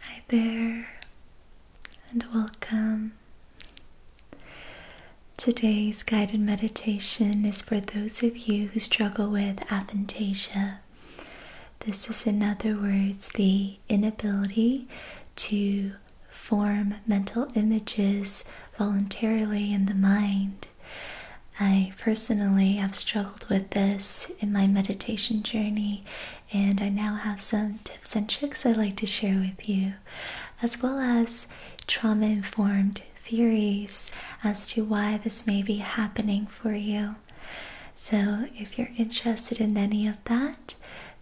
Hi there, and welcome. Today's guided meditation is for those of you who struggle with aphantasia. This is, in other words, the inability to form mental images voluntarily in the mind. I personally have struggled with this in my meditation journey and I now have some tips and tricks I'd like to share with you, as well as trauma informed theories as to why this may be happening for you. So, if you're interested in any of that,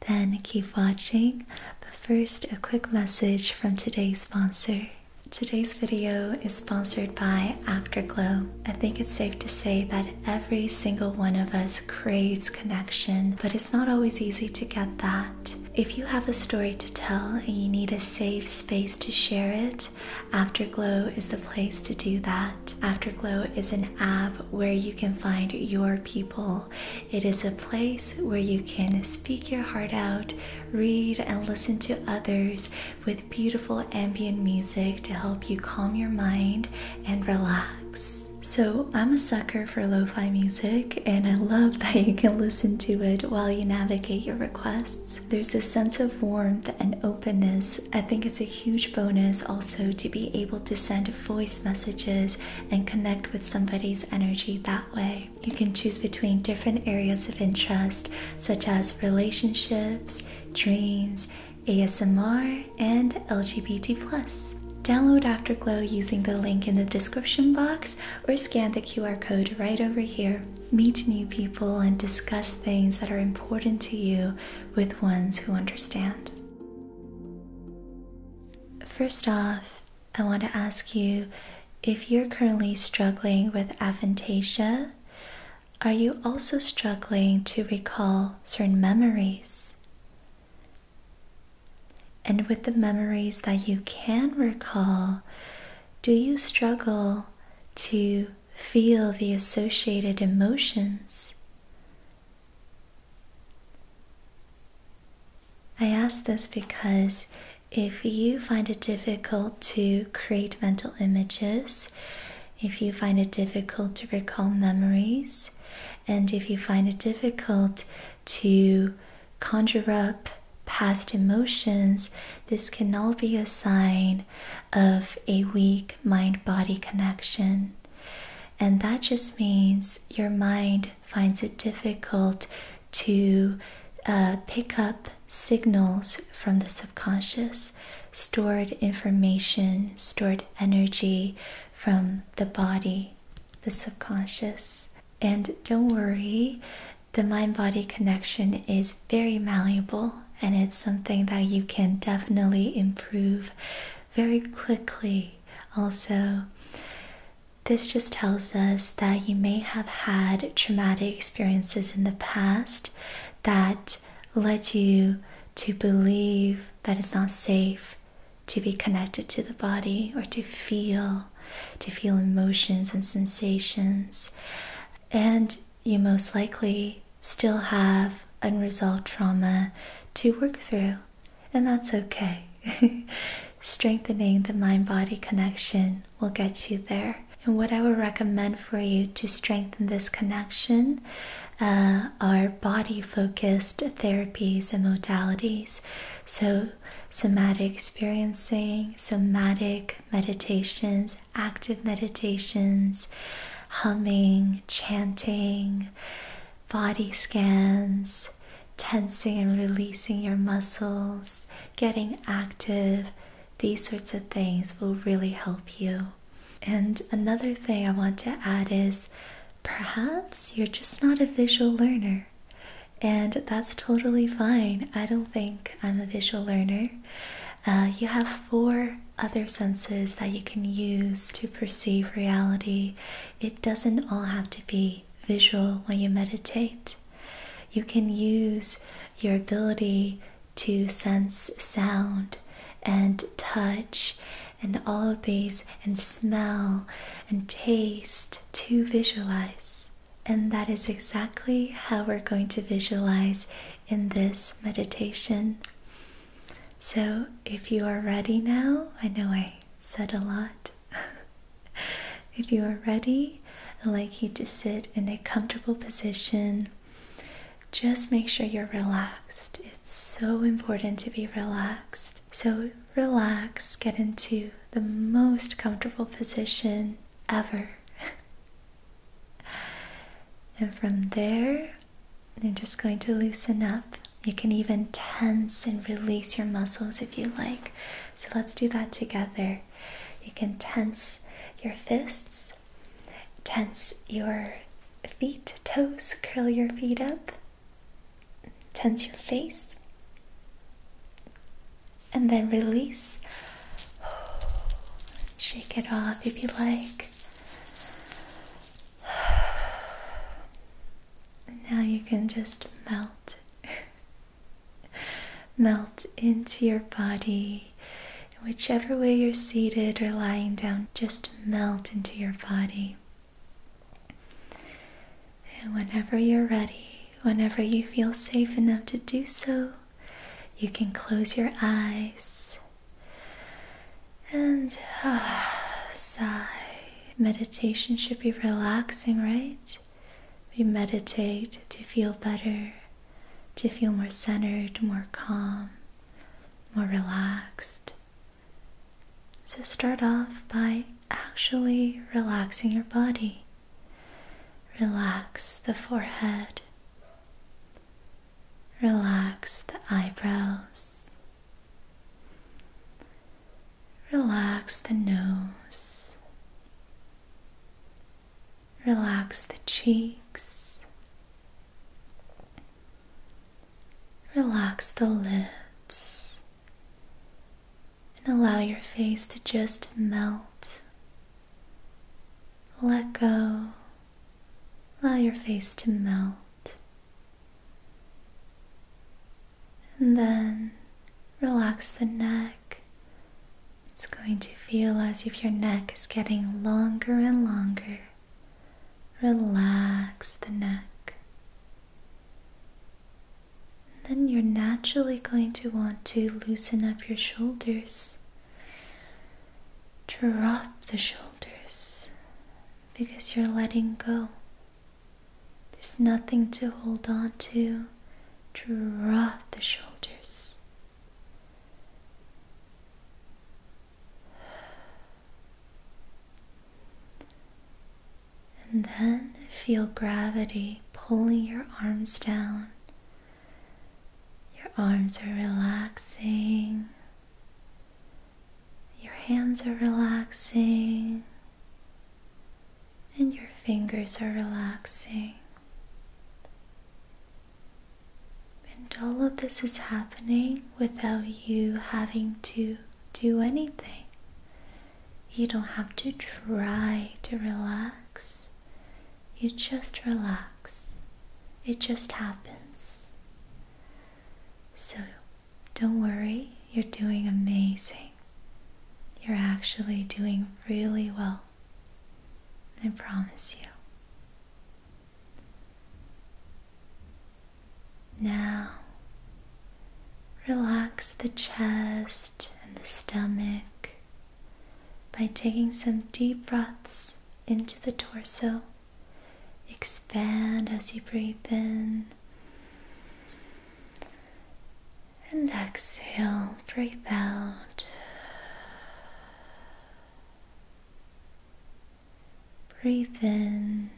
then keep watching. But first, a quick message from today's sponsor. Today's video is sponsored by Afterglow. I think it's safe to say that Every single one of us craves connection, but it's not always easy to get that. If you have a story to tell and you need a safe space to share it, Afterglow is the place to do that. Afterglow is an app where you can find your people. It is a place where you can speak your heart out, read and listen to others with beautiful ambient music to help you calm your mind and relax. So, I'm a sucker for lo fi music, and I love that you can listen to it while you navigate your requests. There's a sense of warmth and openness. I think it's a huge bonus also to be able to send voice messages and connect with somebody's energy that way. You can choose between different areas of interest, such as relationships, dreams, ASMR, and LGBT. Download Afterglow using the link in the description box or scan the QR code right over here. Meet new people and discuss things that are important to you with ones who understand. First off, I want to ask you if you're currently struggling with aphantasia, are you also struggling to recall certain memories? And with the memories that you can recall, do you struggle to feel the associated emotions? I ask this because if you find it difficult to create mental images, if you find it difficult to recall memories, and if you find it difficult to conjure up past emotions, this can all be a sign of a weak mind body connection. And that just means your mind finds it difficult to uh, pick up signals from the subconscious stored information, stored energy from the body, the subconscious. And don't worry, the mind body connection is very malleable and it's something that you can definitely improve very quickly. Also, this just tells us that you may have had traumatic experiences in the past that led you to believe that it's not safe to be connected to the body or to feel to feel emotions and sensations and you most likely still have unresolved trauma to work through and that's okay strengthening the mind body connection will get you there and what i would recommend for you to strengthen this connection uh, are body focused therapies and modalities. So, somatic experiencing, somatic meditations, active meditations, humming, chanting, body scans, tensing and releasing your muscles, getting active. These sorts of things will really help you. And another thing I want to add is perhaps you're just not a visual learner. And that's totally fine. I don't think I'm a visual learner. Uh, you have four other senses that you can use to perceive reality. It doesn't all have to be visual when you meditate. You can use your ability to sense sound and touch and all of these and smell and taste to visualize. And that is exactly how we're going to visualize in this meditation. So, if you are ready now, I know I said a lot. if you are ready, I'd like you to sit in a comfortable position just make sure you're relaxed. It's so important to be relaxed. So, relax, get into the most comfortable position ever. and from there, you're just going to loosen up. You can even tense and release your muscles if you like. So, let's do that together. You can tense your fists Tense your feet, toes, curl your feet up. Tense your face. And then release. Shake it off if you like. now you can just melt. melt into your body and whichever way you're seated or lying down, just melt into your body. And whenever you're ready, whenever you feel safe enough to do so, you can close your eyes and sigh. Meditation should be relaxing, right? We meditate to feel better, to feel more centered, more calm, more relaxed. So start off by actually relaxing your body. Relax the forehead. Relax the eyebrows. Relax the nose. Relax the cheeks. Relax the lips. And allow your face to just melt. Let go. Allow your face to melt. And then relax the neck, it's going to feel as if your neck is getting longer and longer. Relax the neck. Then you're naturally going to want to loosen up your shoulders. Drop the shoulders because you're letting go. There's nothing to hold on to. Drop the shoulders. And then feel gravity pulling your arms down. Your arms are relaxing. Your hands are relaxing. And your fingers are relaxing. And all of this is happening without you having to do anything. You don't have to try to relax. You just relax. It just happens. So don't worry, you're doing amazing. You're actually doing really well. I promise you. Now, relax the chest and the stomach by taking some deep breaths into the torso. Expand as you breathe in and exhale, breathe out. Breathe in,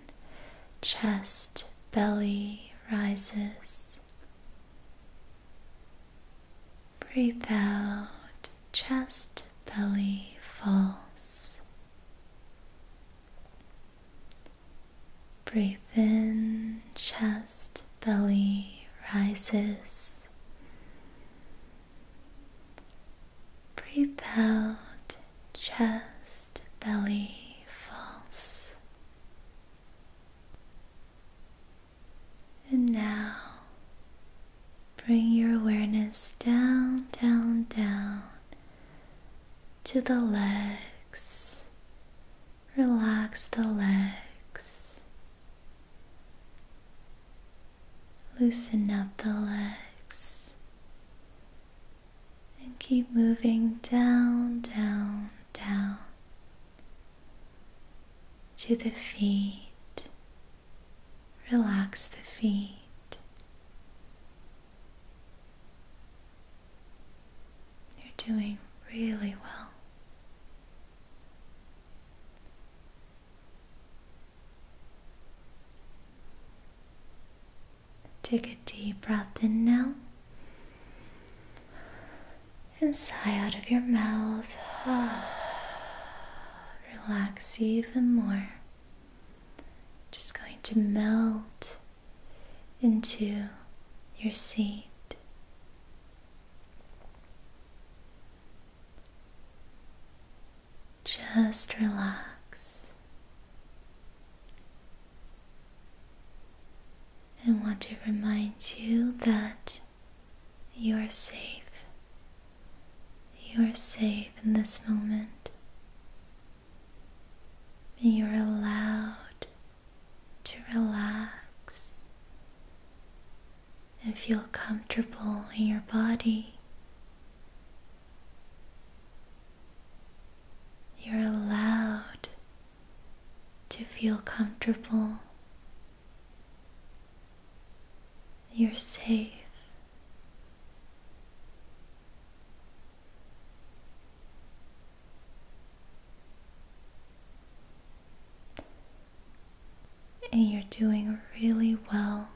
chest, belly rises. Breathe out, chest, belly falls. Breathe in, chest, belly rises. Breath out, chest, belly false. And now bring your awareness down, down, down to the legs. Relax the legs. Loosen up the legs and keep moving down, down, down to the feet. Relax the feet. You're doing really well. Take a deep breath in now and sigh out of your mouth. Relax even more. Just going to melt into your seat. Just relax. I want to remind you that you are safe. You are safe in this moment. You are allowed to relax and feel comfortable in your body. You're allowed to feel comfortable. You're safe. And you're doing really well.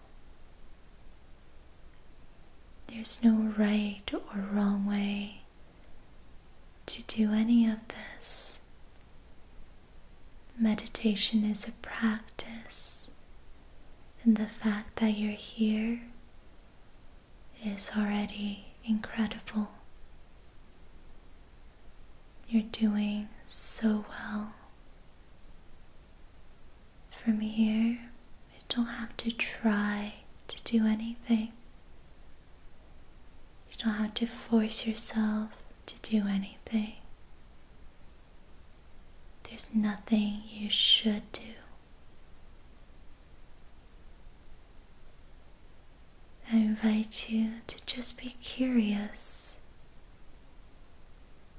There's no right or wrong way to do any of this. Meditation is a practice, and the fact that you're here is already incredible. You're doing so well. From here, you don't have to try to do anything. You don't have to force yourself to do anything. There's nothing you should do. I invite you to just be curious.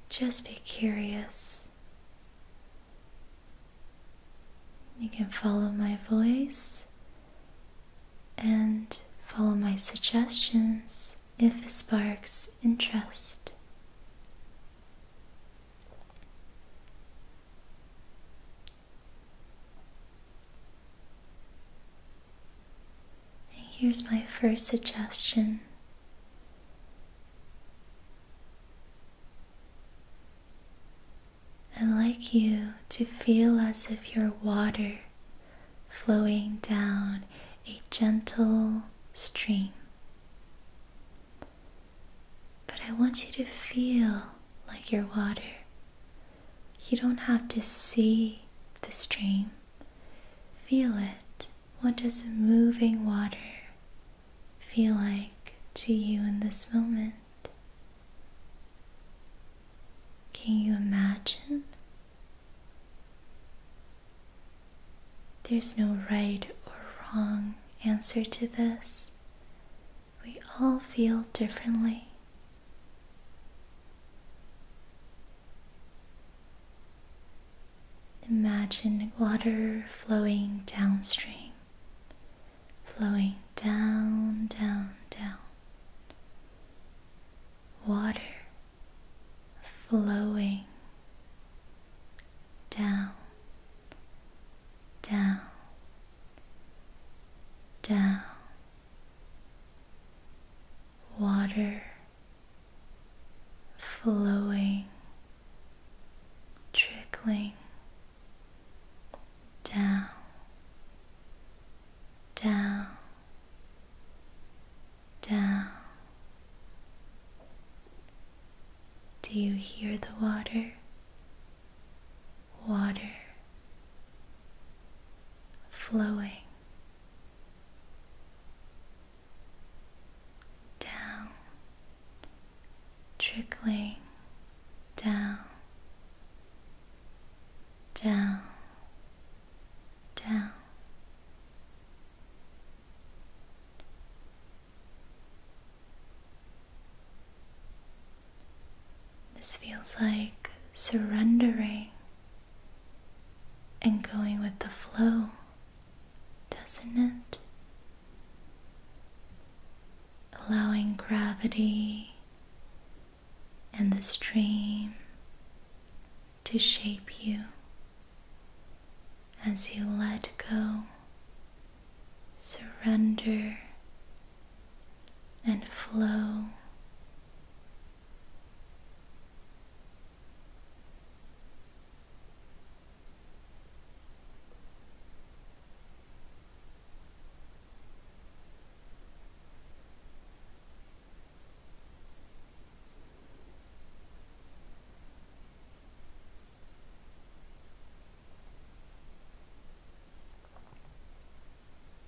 Just be curious. You can follow my voice and follow my suggestions if it sparks interest. And here's my first suggestion. I'd like you to feel as if you're water flowing down a gentle stream. But I want you to feel like your water you don't have to see the stream. Feel it. What does moving water feel like to you in this moment? Can you imagine? There's no right or wrong answer to this. We all feel differently. Imagine water flowing downstream, flowing down, down, down. Water flowing down, down, down, water flowing, trickling down, down, down. Do you hear the water? Water flowing down, trickling down, down, down. This feels like surrendering and going with the flow, doesn't it? Allowing gravity and the stream to shape you as you let go, surrender and flow.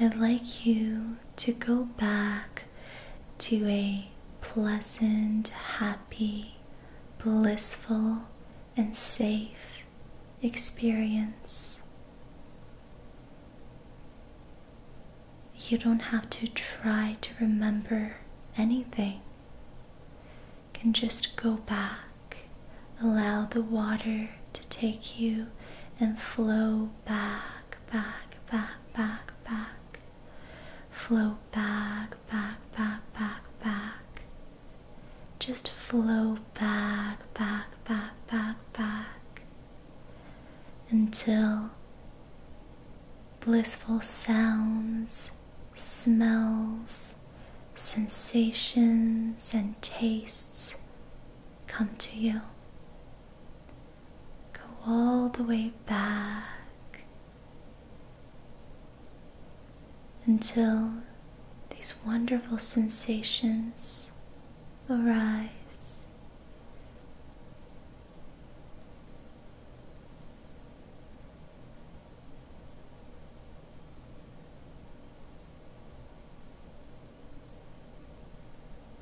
I'd like you to go back to a pleasant, happy, blissful, and safe experience. You don't have to try to remember anything. can just go back, allow the water to take you and flow back back, back, back, back, back. Flow back, back, back, back, back. Just flow back, back, back, back, back. Until blissful sounds, smells, sensations, and tastes come to you. Go all the way back until these wonderful sensations arise.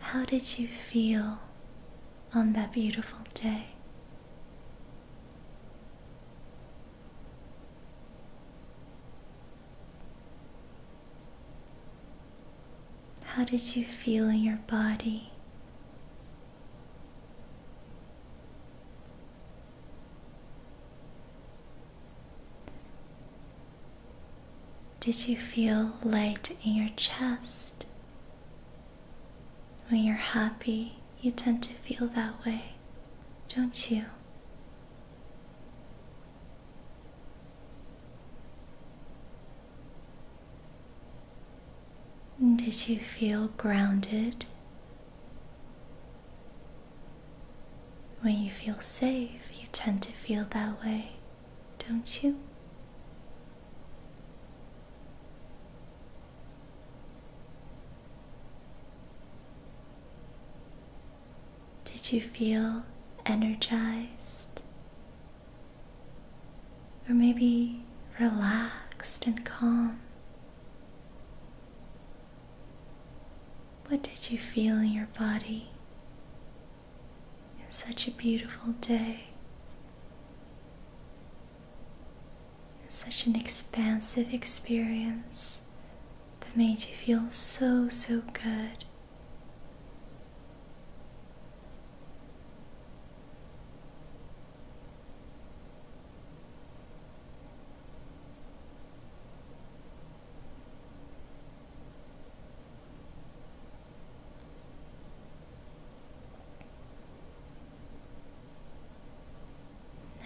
How did you feel on that beautiful day? How did you feel in your body? Did you feel light in your chest? When you're happy, you tend to feel that way, don't you? Did you feel grounded? When you feel safe, you tend to feel that way, don't you? Did you feel energized? Or maybe relaxed and calm? What did you feel in your body it's such a beautiful day. It's such an expansive experience that made you feel so, so good.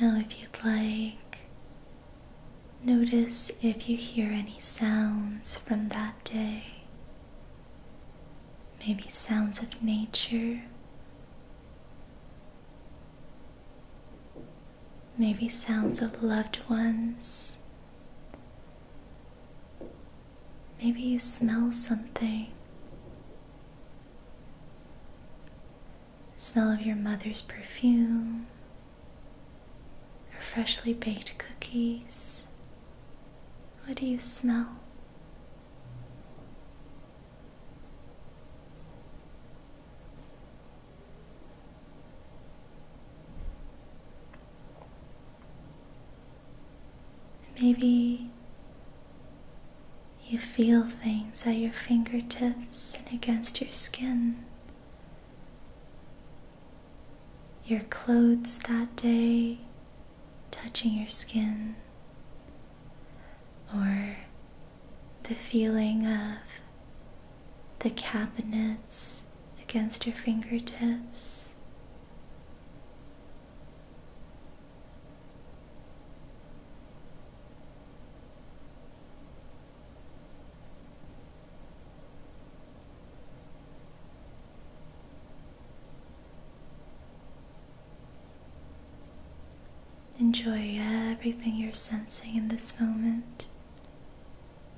Now, if you'd like, notice if you hear any sounds from that day. Maybe sounds of nature, maybe sounds of loved ones Maybe you smell something. The smell of your mother's perfume or freshly baked cookies. What do you smell? Maybe you feel things at your fingertips and against your skin. Your clothes that day touching your skin, or the feeling of the cabinets against your fingertips. Enjoy everything you're sensing in this moment.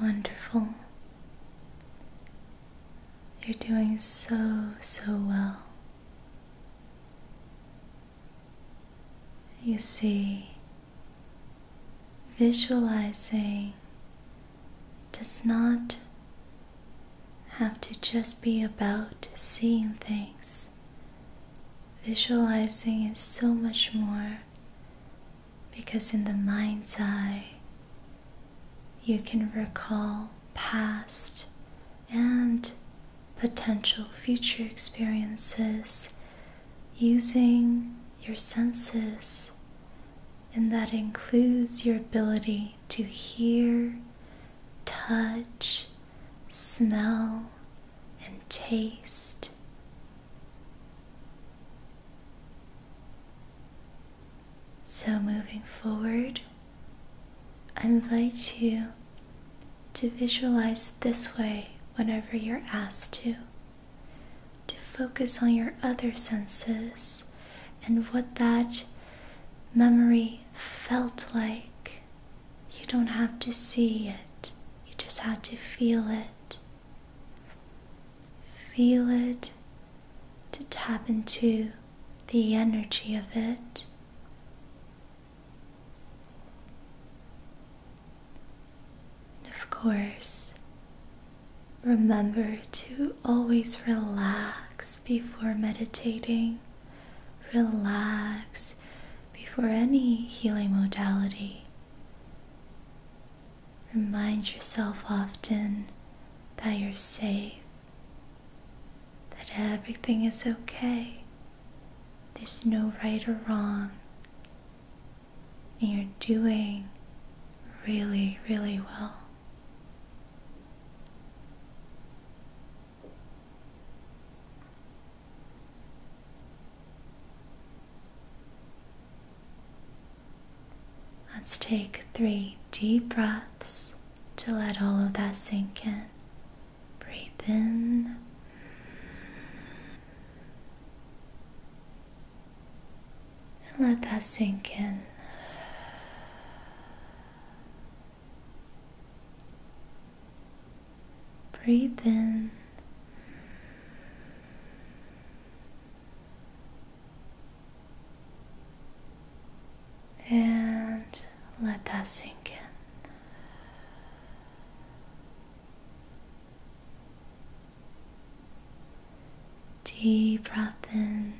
Wonderful. You're doing so, so well. You see, visualizing does not have to just be about seeing things. Visualizing is so much more because in the mind's eye, you can recall past and potential future experiences using your senses and that includes your ability to hear, touch, smell, and taste. So, moving forward, I invite you to visualize this way whenever you're asked to to focus on your other senses and what that memory felt like. You don't have to see it, you just have to feel it. Feel it to tap into the energy of it. And of course, remember to always relax before meditating, relax before any healing modality. Remind yourself often that you're safe, that everything is okay. There's no right or wrong and you're doing really, really well. Let's take three deep breaths to let all of that sink in. Breathe in and let that sink in. Breathe in. And let that sink in. Deep breath in.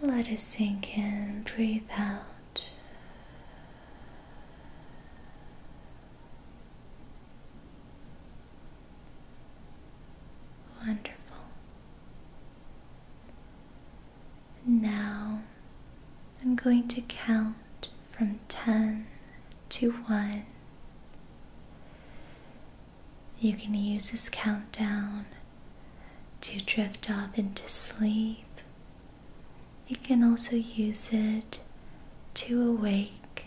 And let it sink in. Breathe out. Wonderful. Now I'm going to count from 10 to 1. You can use this countdown to drift off into sleep. You can also use it to awake.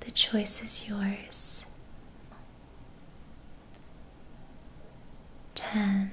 The choice is yours. 10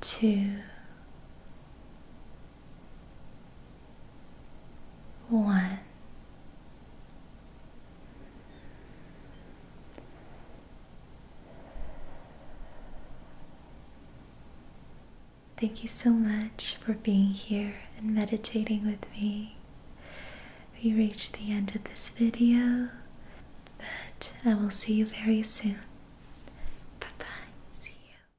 two, one. Thank you so much for being here and meditating with me. We reached the end of this video, but I will see you very soon. Bye bye. See you.